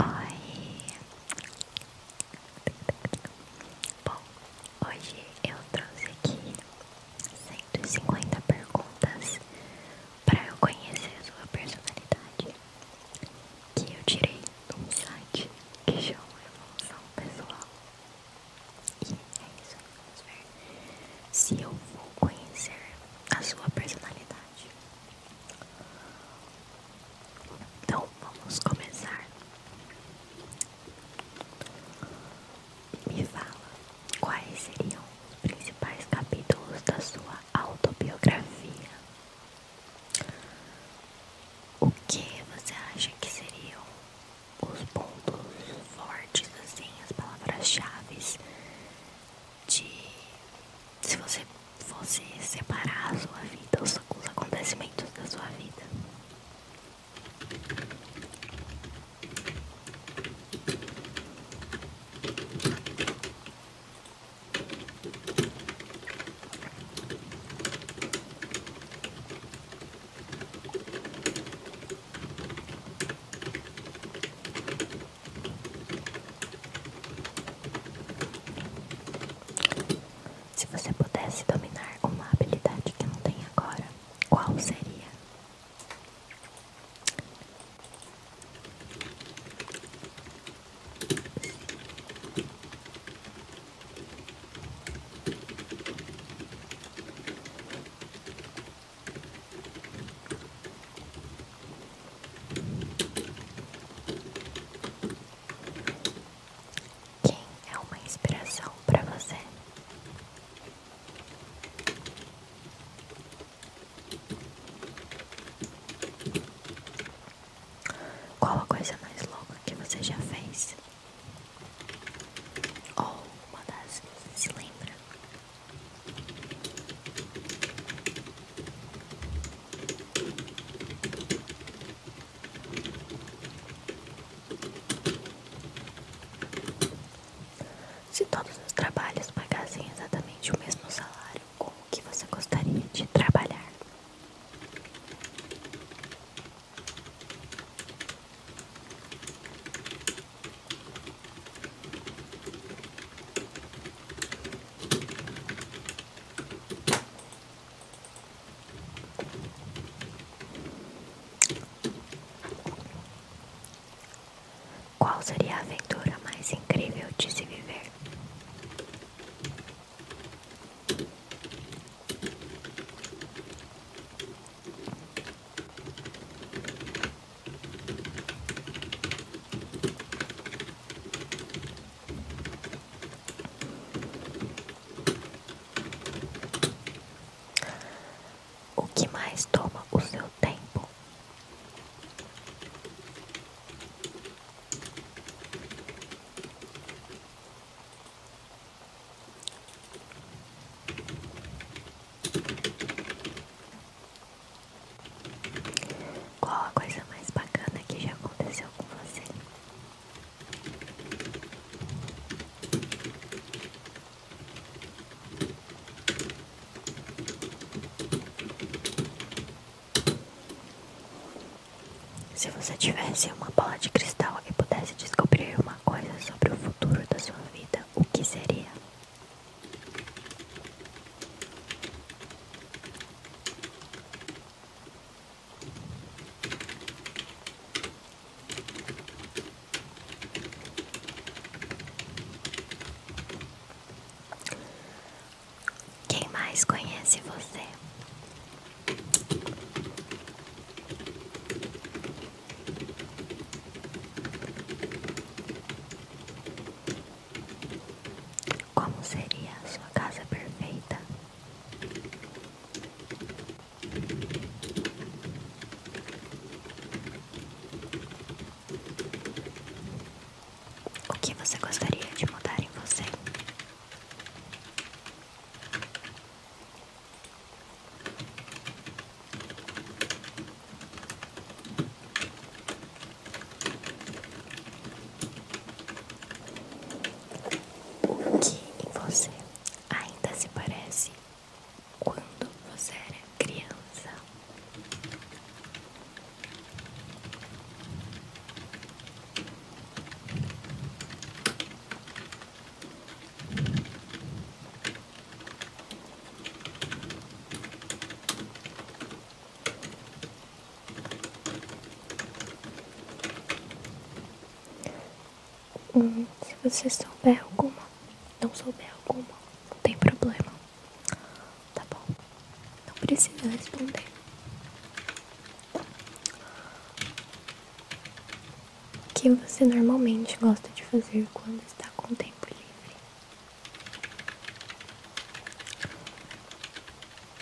Oi! Bom, hoje eu trouxe aqui 150 perguntas para eu conhecer a sua personalidade que eu tirei de um site que chama Evolução Pessoal. E é isso, vamos ver se eu vou conhecer a sua personalidade. Então vamos começar. Me fala quais seriam os principais capítulos da sua autobiografia. O que você acha que seriam os pontos fortes, assim, as palavras-chave de se você fosse separar a sua vida, os, os acontecimentos da sua vida. Se você pudesse dominar uma habilidade que não tem agora, qual seria? Quem é uma inspiração para você? Qual a coisa mais louca que você já fez? Ou uma das que se lembra? Se todos os trabalhos pagassem exatamente o mesmo salário, como que você gostaria de trabalhar? Qual seria a aventura mais incrível de se viver? O que mais toma o seu tempo? Qual a coisa mais bacana que já aconteceu com você? Se você tivesse uma bola de cristal e pudesse descobrir uma coisa sobre o futuro da sua vida, o que seria? Quem mais conhece você? Como seria a sua casa perfeita? O que você gostaria de mudar em você? O que em você ainda se parece quando você era criança? Hum, se você souber alguma, não souber alguma, não tem problema. Tá bom? Não precisa responder. O que você normalmente gosta de fazer quando está com tempo livre?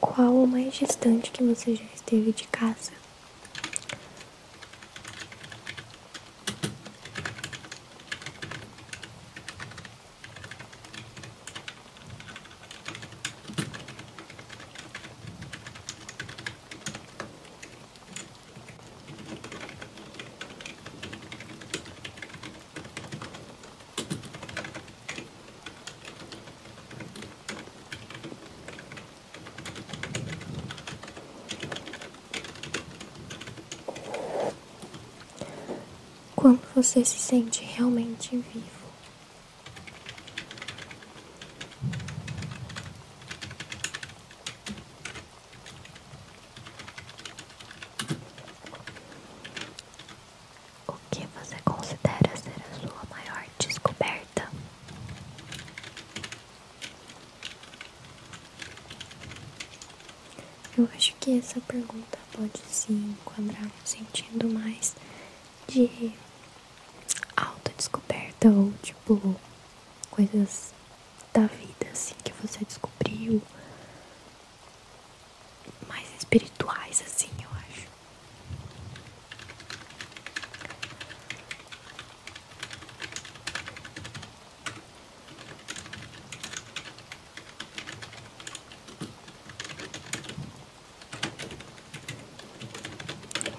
Qual o mais distante que você já esteve de casa? Quando você se sente realmente vivo. O que você considera ser a sua maior descoberta? Eu acho que essa pergunta pode se enquadrar no sentido mais de alta descoberta ou tipo coisas da vida assim que você descobriu mais espirituais assim, eu acho.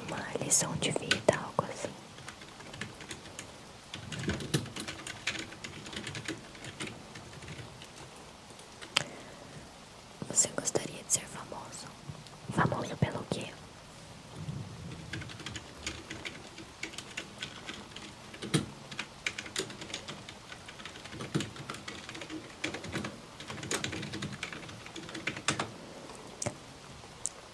Uma lição de vida, algo assim. Você gostaria de ser famoso? Famoso pelo quê?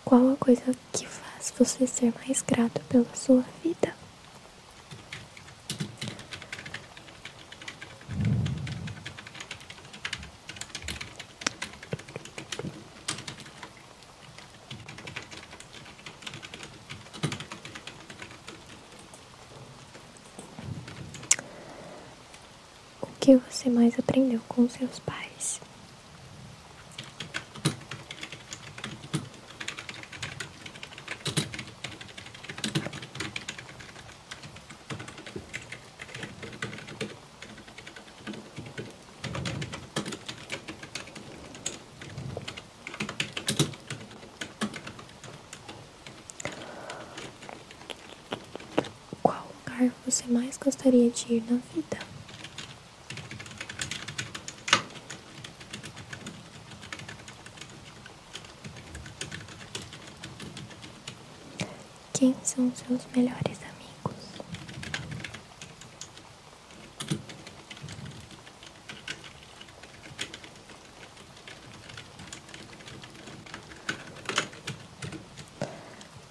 Qual a coisa que faz você ser mais grato pela sua vida? O que você mais aprendeu com seus pais? Qual lugar você mais gostaria de ir na vida? Quem são seus melhores amigos?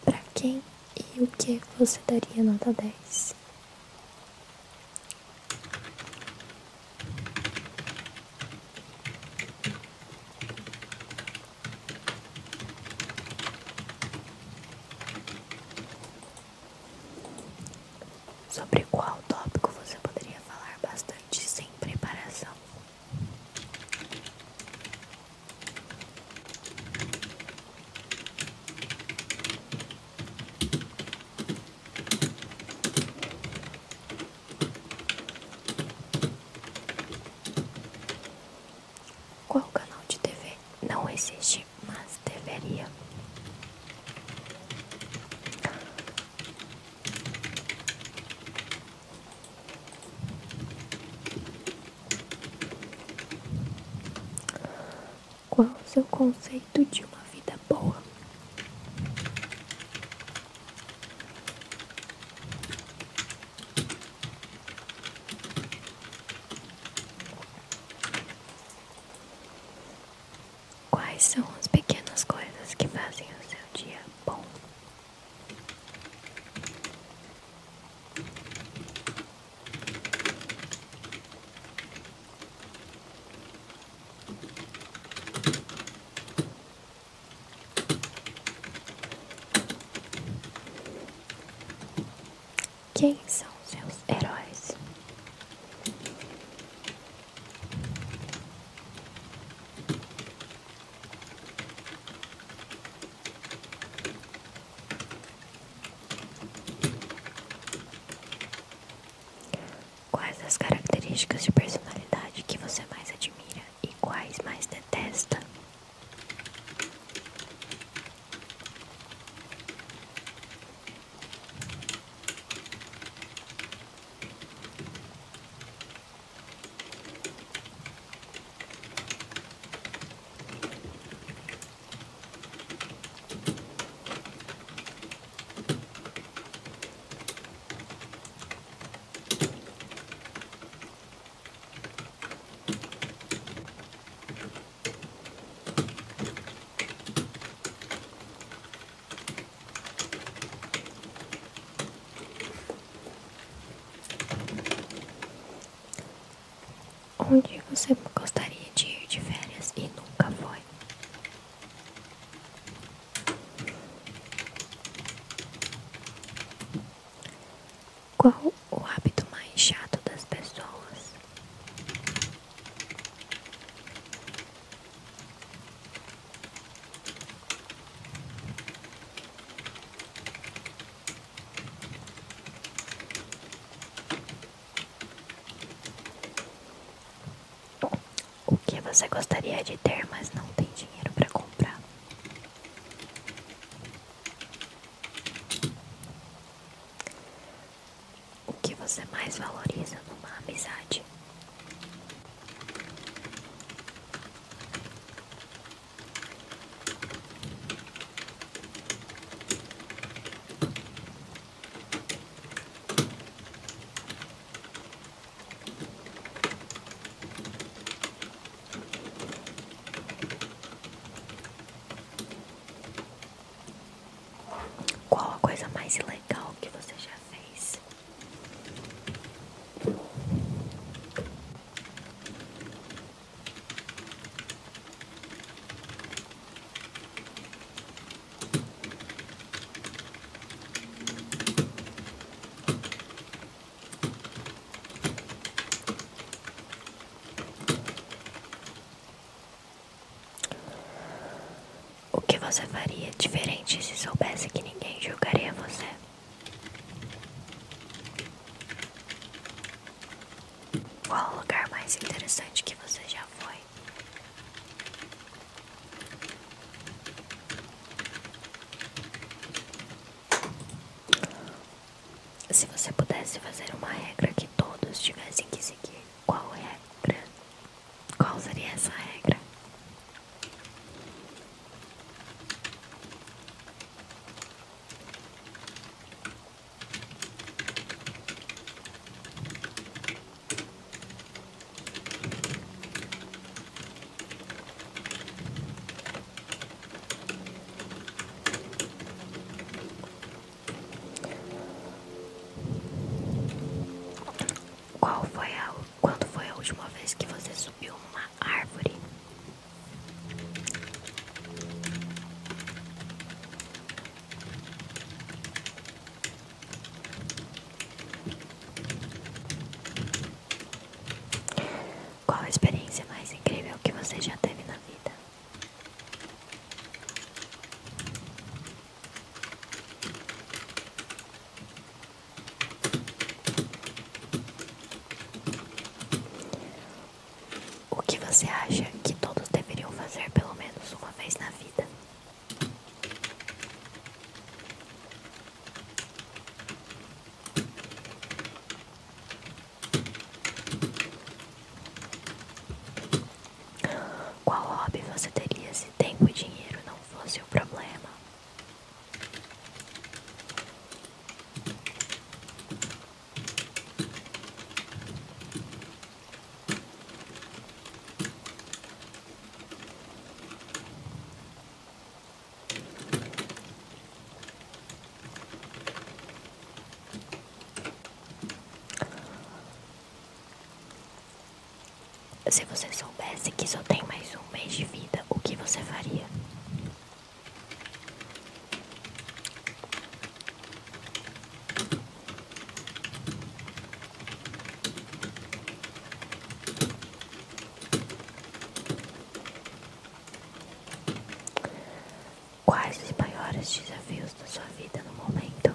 Para quem e o é que você daria nota dez? Sobre qual tópico você poderia falar bastante sem preparação? Qual canal de TV não existe, mas deveria? Qual o seu conceito de uma vida boa? Quais são as pequenas coisas que fazem o seu dia bom? Quem são seus heróis? Quais as características de personalidade que você mais admira? e quais mais detesta? Onde você gostaria de ir de férias e nunca foi? Qual o hábito mais chato das pessoas? O que você gostaria de ter, mas não tem dinheiro para comprar? O que você mais valoriza numa amizade? Qual a coisa mais legal que você já fez? O que você faria diferente se soubesse que ninguém julgaria você? Qual o lugar mais interessante que você já foi? Se você pudesse fazer uma regra que todos tivessem que seguir, qual regra? Qual seria essa regra? Qual foi a quando foi a última vez que você subiu uma árvore? Qual a experiência mais incrível que você já teve na vida? O que você acha que todos deveriam fazer pelo menos uma vez na vida? Qual hobby você teria se tempo e dinheiro não fosse o problema? Se você soubesse que só tem mais um mês de vida, o que você faria? Quais os maiores desafios da sua vida no momento?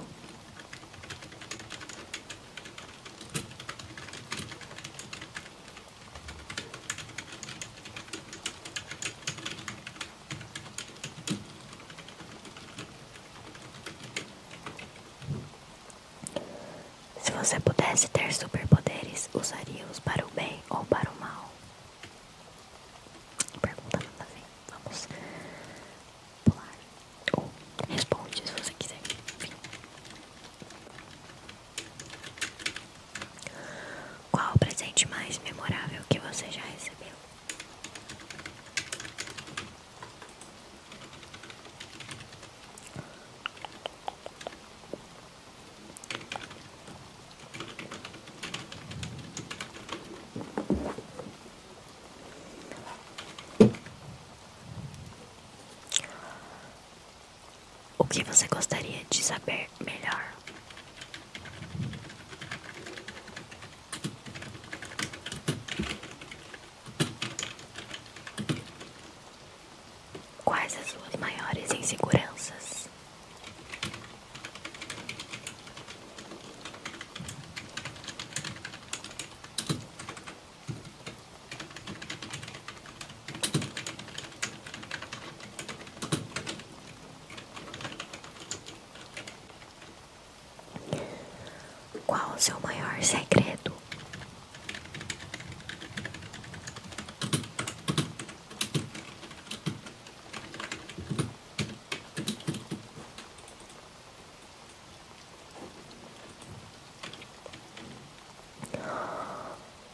Se você pudesse ter superpoderes, usaria-os para o bem ou para o mal? Pergunta nada a Vamos pular. Ou responde se você quiser. Enfim. Qual o presente mais memorável que você já recebeu? O que você gostaria de saber melhor? Quais as suas maiores inseguranças? Qual o seu maior segredo?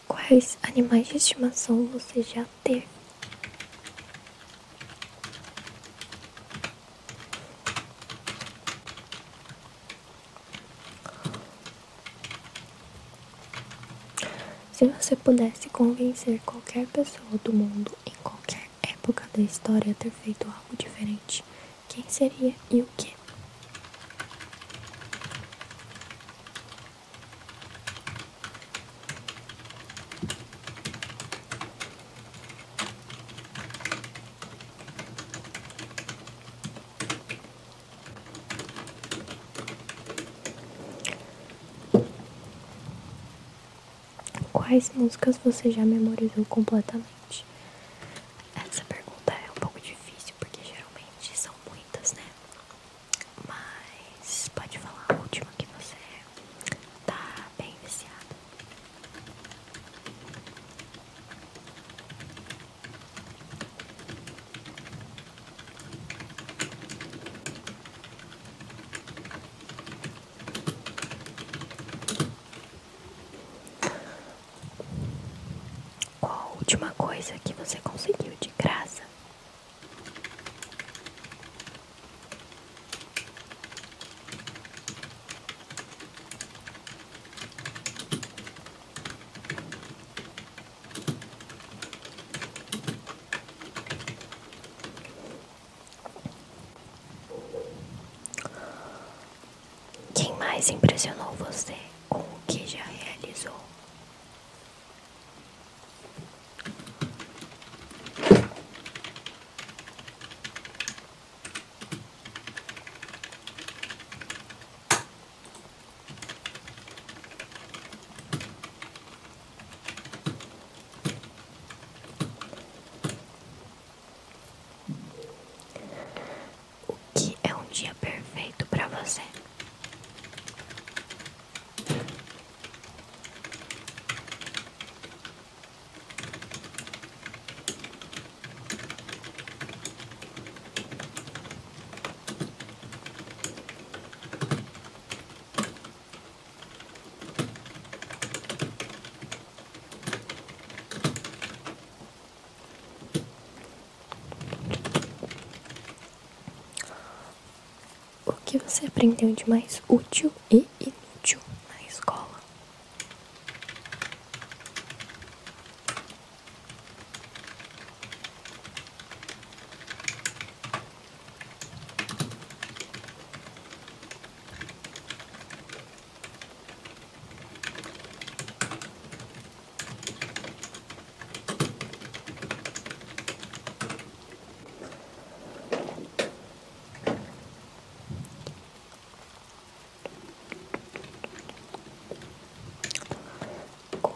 Quais animais de estimação você já teve? Se você pudesse convencer qualquer pessoa do mundo em qualquer época da história a ter feito algo diferente, quem seria e o que? Quais músicas você já memorizou completamente? Essa pergunta é um pouco difícil porque geralmente são muitas, né? Mas pode falar a última que você é. tá bem viciada. Qual a última coisa que você conseguiu de graça? Quem mais impressionou você com o que já realizou? O que é um dia perfeito para você? O que você aprendeu de mais útil e inútil na escola?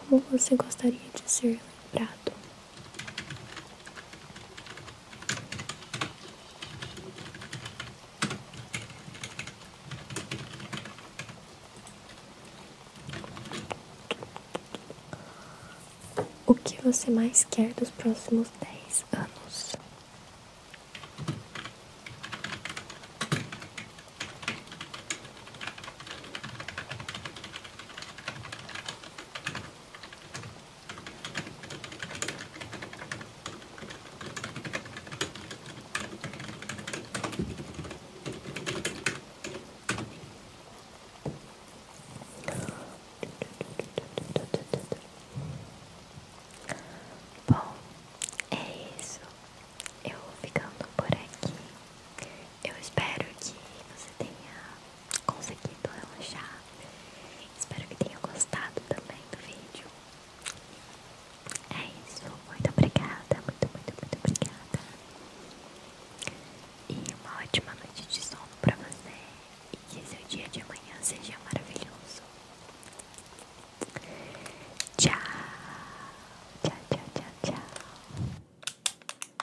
Como você gostaria de ser lembrado? O que você mais quer dos próximos dez anos? Bom, é isso. Eu vou ficando por aqui. Eu espero que você tenha conseguido relaxar. Espero que tenha gostado também do vídeo. É isso. Muito obrigada. Muito, muito, muito obrigada. E uma ótima noite de sono pra você. E que seu dia de amanhã seja maravilhoso. Tchau. Tchau, tchau, tchau, tchau.